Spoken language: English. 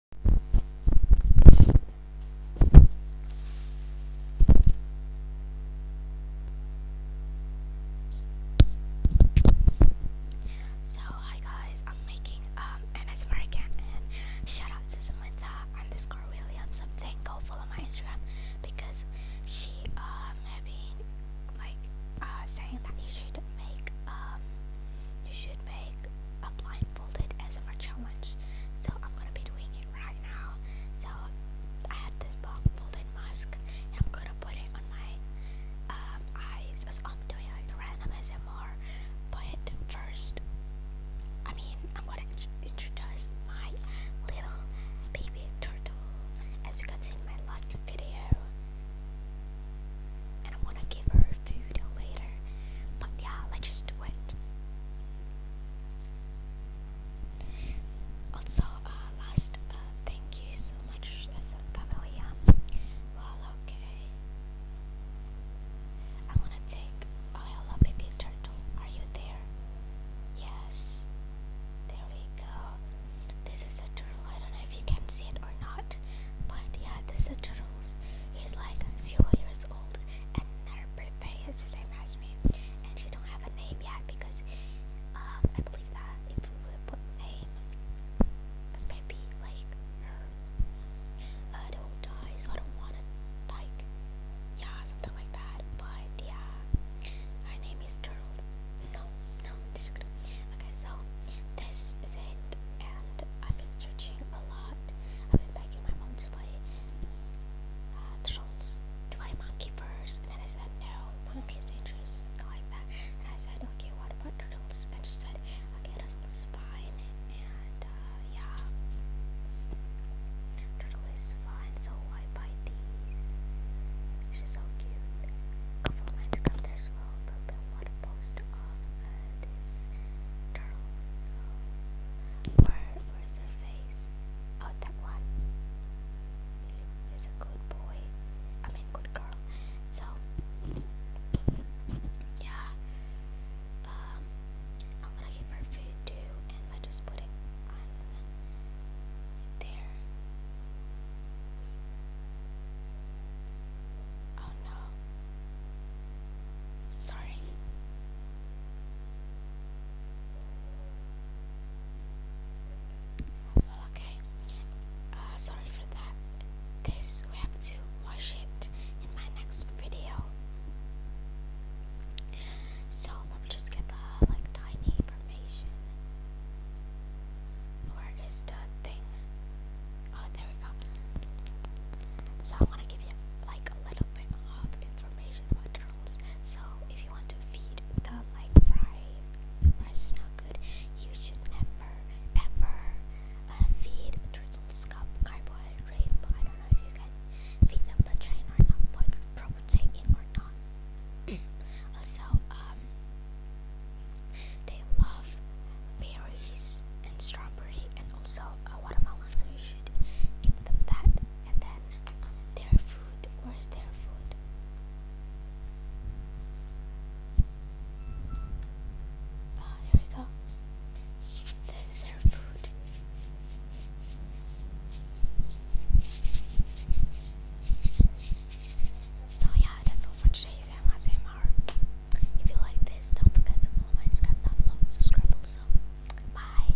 So hi guys, I'm making um an again and shout out to Samantha underscore Williams something. Go follow my Instagram because she um had been like uh saying that you should make um you should make a blindfolded ASMR challenge. So I'm gonna be doing it right now. So I have this blindfolded mask and I'm gonna put it on my um, eyes. as I'm doing like random S M R. But first, I mean, I'm gonna introduce my little baby turtle. As you can see in my last video, and I want to give her food later. But yeah, let's just do it. Also, uh, last uh, thank you so much, Listen Pavelia. Um, well, okay. I want to take. Oh, hello, baby turtle. Are you there? Yes. There we go. This is a turtle. I don't know if you can see it or not, but yeah, this is a turtle. He's like zero years old, and her birthday is the same as me. And she don't have a name yet because um, I believe that if we would put name as maybe like her, uh, I don't want to like yeah, something like that. But yeah, her name is Turtle. No, no, just kidding. Okay, so this is it, and I've been searching a lot. I've been begging my mom to play uh, Turtles, to play Monkey first, and then I said no, Monkey is dangerous, not like that. And I said okay, what about Turtles? And she said okay, Turtles fine, and. Uh, yeah. Turtle is fine, so I buy these. She's so cute. Couple of Minecraft as well, but I want this turtle. So, where, where's her face? Oh, that one. Is a good boy. I mean, good girl. So, yeah. Um, I'm gonna give her food too, and I just put it on there. Oh no. Sorry. okay. Uh, sorry for that. This we have to wash it in my next video. So let me just get the like tiny information. Where is the thing? Oh, there we go. So I want to give you like a little bit of information about turtles. So if you want to feed them like fries, fries is not good. You should never pepper, uh, feed, turtles, cup, carbohydrate, but I don't know if you can feed them the chain or not, but take it or not. also, um, they love berries and strawberry and also a uh, watermelon, so you should give them that. And then uh, their food, where's their food? Ah, here we go. This is our food. So yeah, that's all for today's ASMR. If you like this, don't forget to follow my Instagram down below subscribe also. Bye!